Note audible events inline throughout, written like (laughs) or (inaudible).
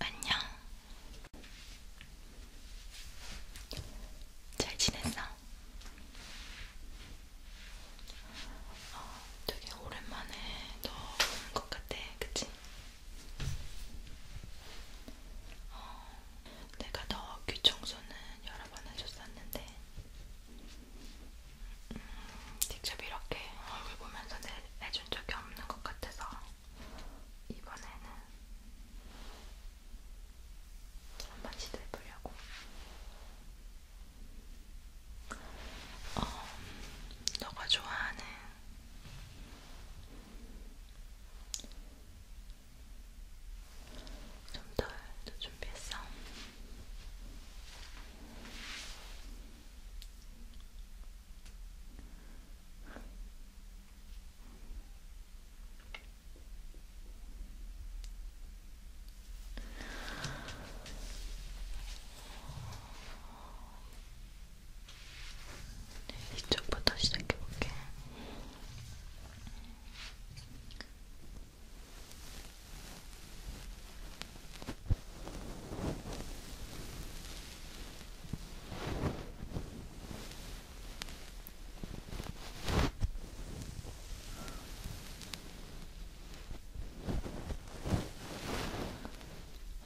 안녕. 잘 지냈어? 어, 되게 오랜만에 너 보는 것 같아, 그치? 어, 내가 너 귀 청소는 여러 번 해줬었는데 음, 직접 이렇게 얼굴 보면서 내, 해준 적이 없는 것 같아서 이번에는 한 번 시도해보려고 어, 너가 좋아하는 좀더더 준비했어. 네, 이쪽부터 시작해볼게.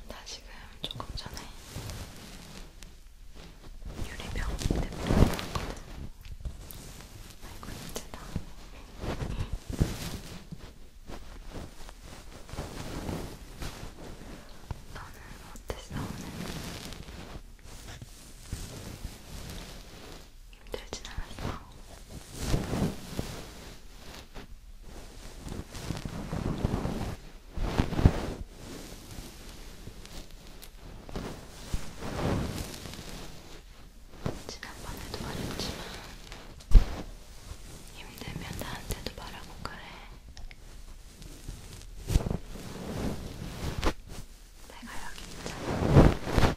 나 지금 조금 전에 유리병 때문에 아이고 힘들다 너는 어땠어 오늘? 힘들진 않았어? 지난번에도 말했지만 힘들면 나한테도 말하고 그래. 내가 여기 있잖아.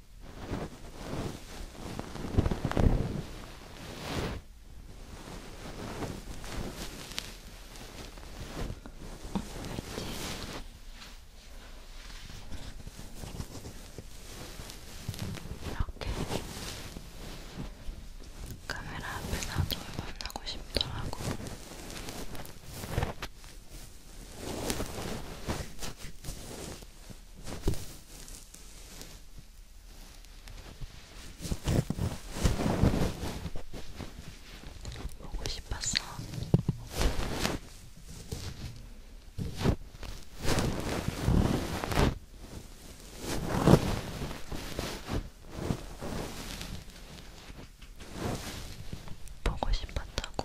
이렇게 카메라 앞에서도 만나고 싶더라고. 보고 싶었어. 보고 싶었다고.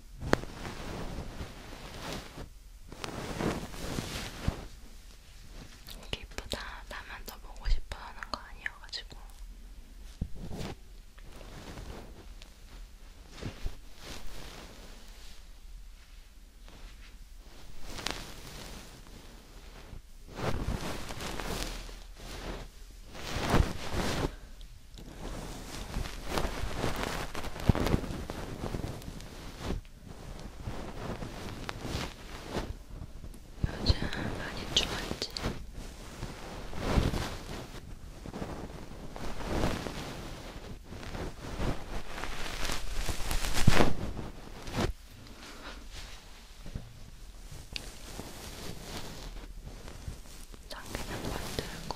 기쁘다. 나만 더 보고 싶어 하는 거 아니어가지고. 요즘 많이 추웠지? 장기장 만들고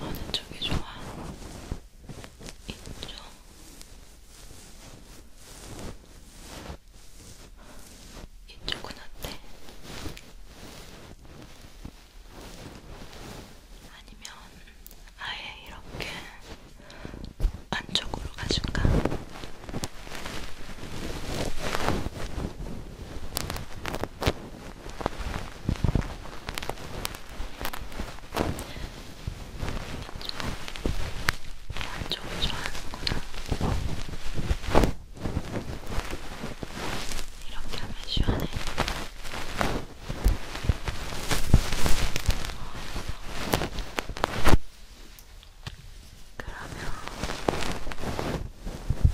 어느 쪽이 좋아? 이쪽? 이쪽은 어때? 아니면 아예 이렇게 안쪽으로 가줄까? 안쪽을 좋아하는구나. 이렇게 하면 시원해. 어, 그러면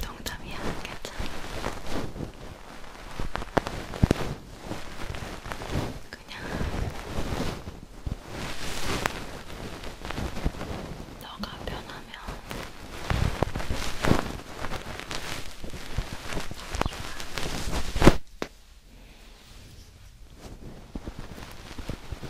정답이야, 괜찮아. 그냥 너가 변하면 좋아.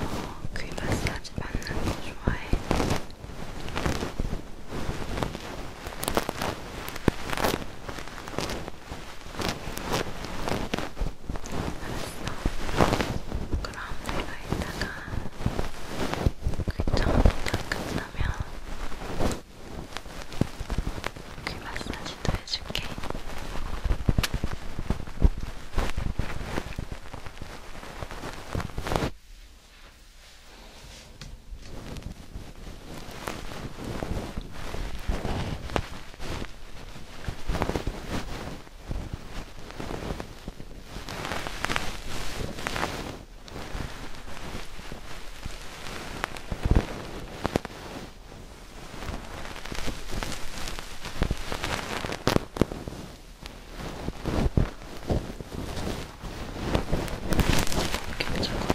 어, 귀 마사지 받는 거 좋아해. 그럼 내가 이따가 귀청소가 끝나면 귀 마사지도 해줄게. 이렇게 자꾸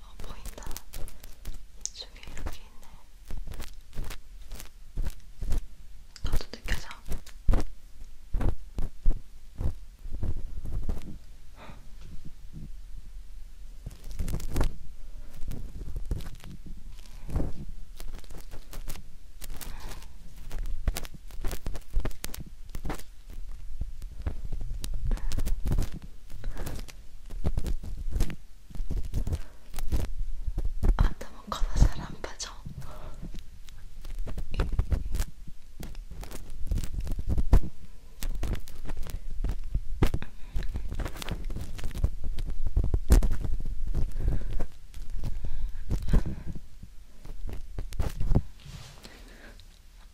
어, 보인다. 이쪽에 이렇게 있네. 나도 느껴져. 아무 거나 잘안 빠져.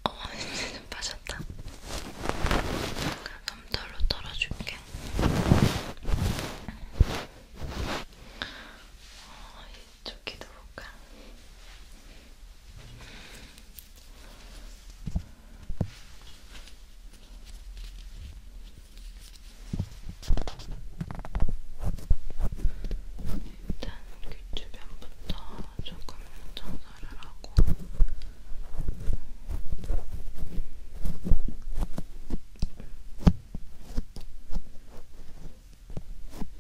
어, 이제 좀 (laughs) 빠졌다. 덤털로 털어줄게. 어, 이쪽에도 볼까? 일단 귀 그 주변부터 조금 청소를 하고 그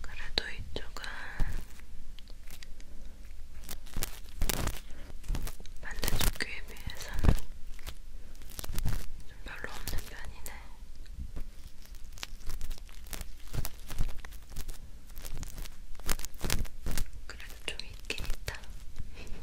그래도 이쪽은 반대쪽 귀에 비해서는 좀 별로 없는 편이네. 그래도 좀 있긴 있다. 아, 머리가 왜 이렇게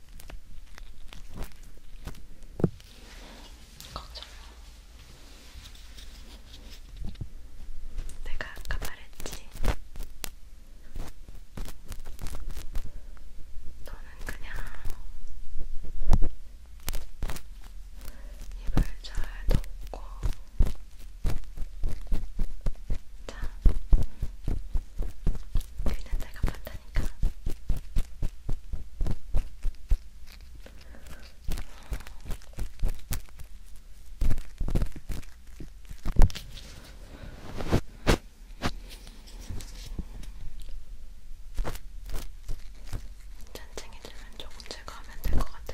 걱정 마. 내가 아까 말했지. 너는 그냥 입을 잘 덮고 자, 그냥 내가 봤다니까. 잔챙이들은 조금 제거하면 될 것 같아.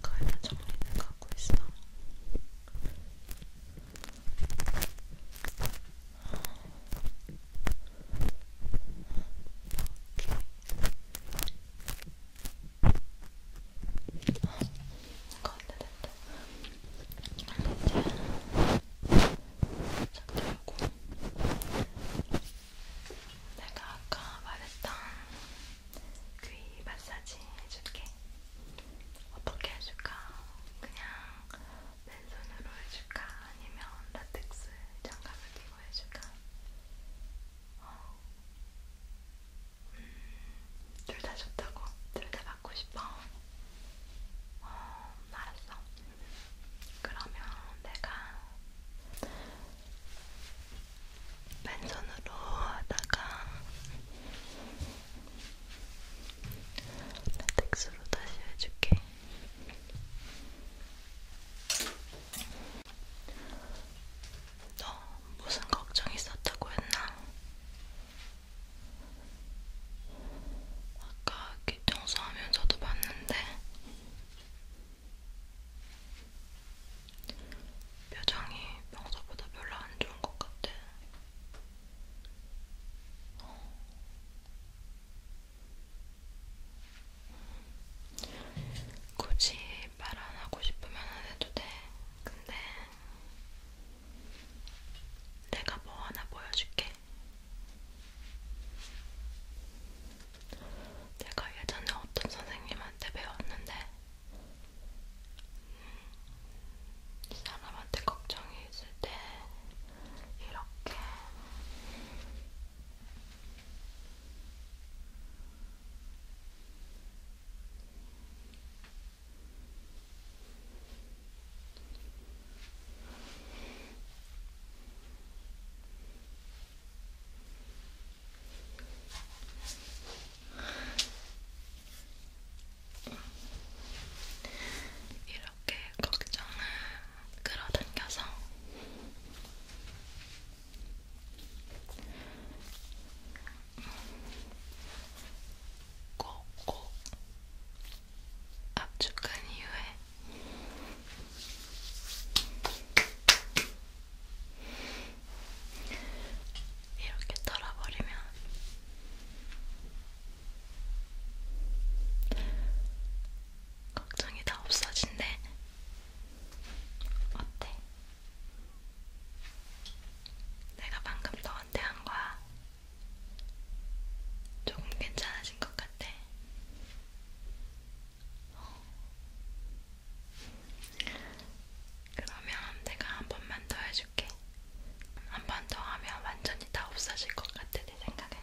가야 정리는 갖고 있어. 오케이. 내가 아까 말했던 귀 마사지 해줄게. 어떻게 해줄까? 그냥 맨손으로 해줄까? 아니면 라텍스 장갑을 끼고 보여줄까? 어. 음, 둘다 좋다고? 둘 다 받고 싶어? 어, 알았어. 그러면 내가 맨손으로 하다가 레텍스로 다시 해줄게. 너 무슨 걱정 있었다고 했나? 아까 귀 청소하면서도 봤는데 표정이 평소보다 별로 안 좋은 것 같아. 어. 굳이 말 안 하고 싶으면 안 해도 돼. 근데 내가 뭐 하나 보여줄게. 내가 예전에 어떤 선생님한테 배웠는데 음, 이 사람한테 걱정이 있을 때 이렇게 이렇게 걱정을 끌어당겨서 꼭꼭 압축한 이후에 이렇게 털어버리면 걱정이 다 없어진대. 어때? 내가 방금 너한테 한 거야. 조금 괜찮아진 것 같아. 어. 그러면 내가 한 번만 더 해줄게. 한 번 더 하면 완전히 다 없어질 것 같아 내 생각엔.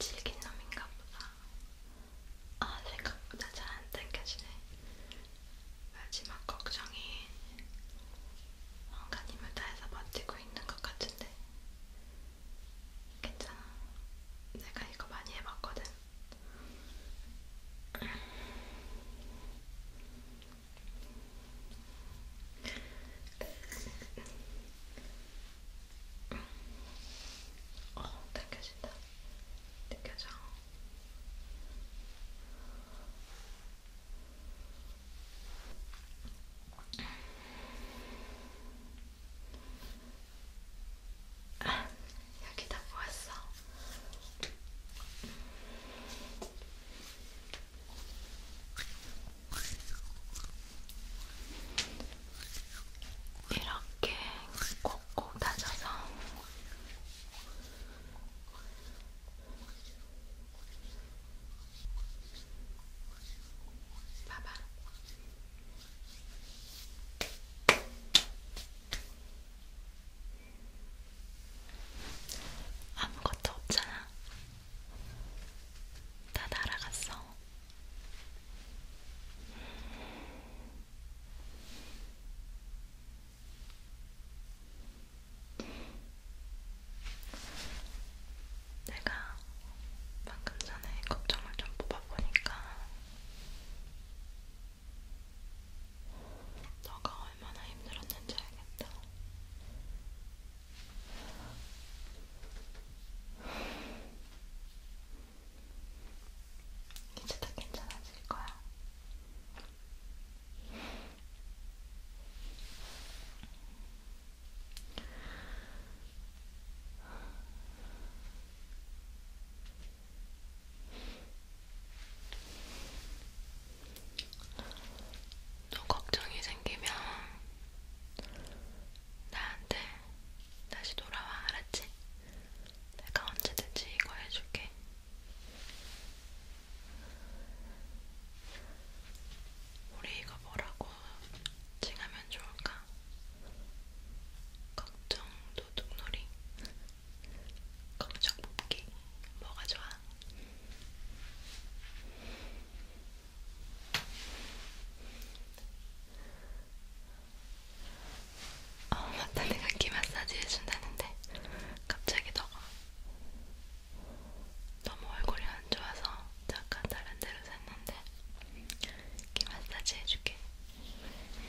질긴 놈인가 보다. 아, 생각보다 잘 안 당겨지네. 마지막 걱정이 뭔가 힘을 다해서 버티고 있는 것 같은데 괜찮아. 내가 이거 많이 해봤거든. 어, 당겨진다. 느껴져. 아, 여기 다 보았어. 이렇게 코 꼭꼭 다져서 봐봐. 아무것도 없잖아. 다 날아갔어. 내가 방금 전에 걱정을 좀 뽑아보니까 너가 얼마나 힘들었는지 알겠다. 이제 다 괜찮아질 거야. 또 걱정이 생기면 나한테 다시 돌아와, 알았지? 내가 언제든지 이거 해줄게. 우리 이거 뭐라고 칭하면 좋을까? 걱정 도둑놀이, 걱정 뽑기, 뭐가 좋아? 어 맞다 내가 귀 마사지 해준다는데 갑자기 너가 너무 얼굴이 안 좋아서 잠깐 다른 데로 샜는데 귀 마사지 해줄게. 음.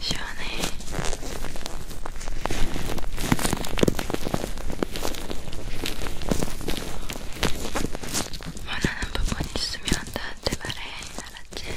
시원해. 원하는 부분 있으면 나한테 말해. 알았지?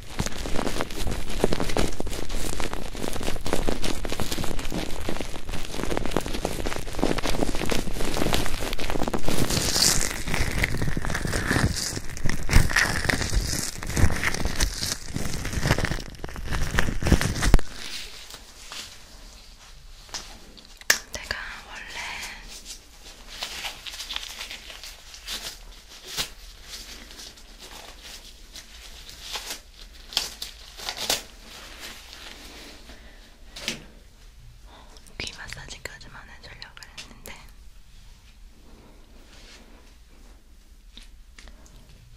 내가 원래 귀 마사지까지만 해주려고 했는데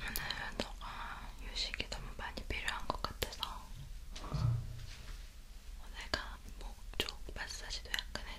오늘 너가 휴식이 너무 많이 필요한 것 같아서 내가 목쪽 마사지도 약간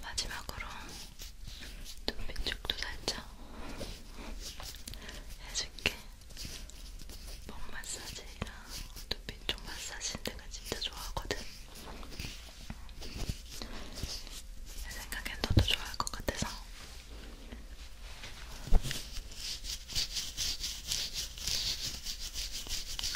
마지막으로 눈빛 쪽도 살짝 해줄게. 목 마사지랑 눈빛 쪽 마사지 내가 진짜 좋아하거든. 내 생각엔 너도 좋아할 것 같아서.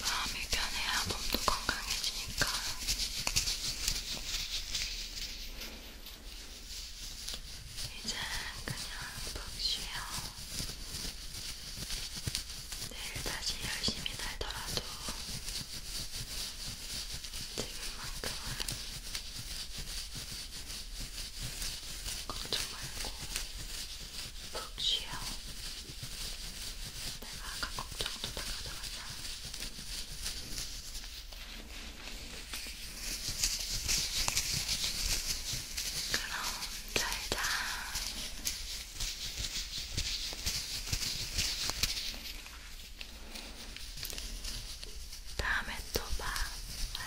마음이 편해야 몸도 건강해지니까. 이제 그냥 푹 쉬어. 내일 다시 열심히 달더라도 지금만큼은 걱정 말고 푹 쉬어. 내가 아까 걱정도 다 가져갔다. 그럼 잘자. 다음에 또 봐.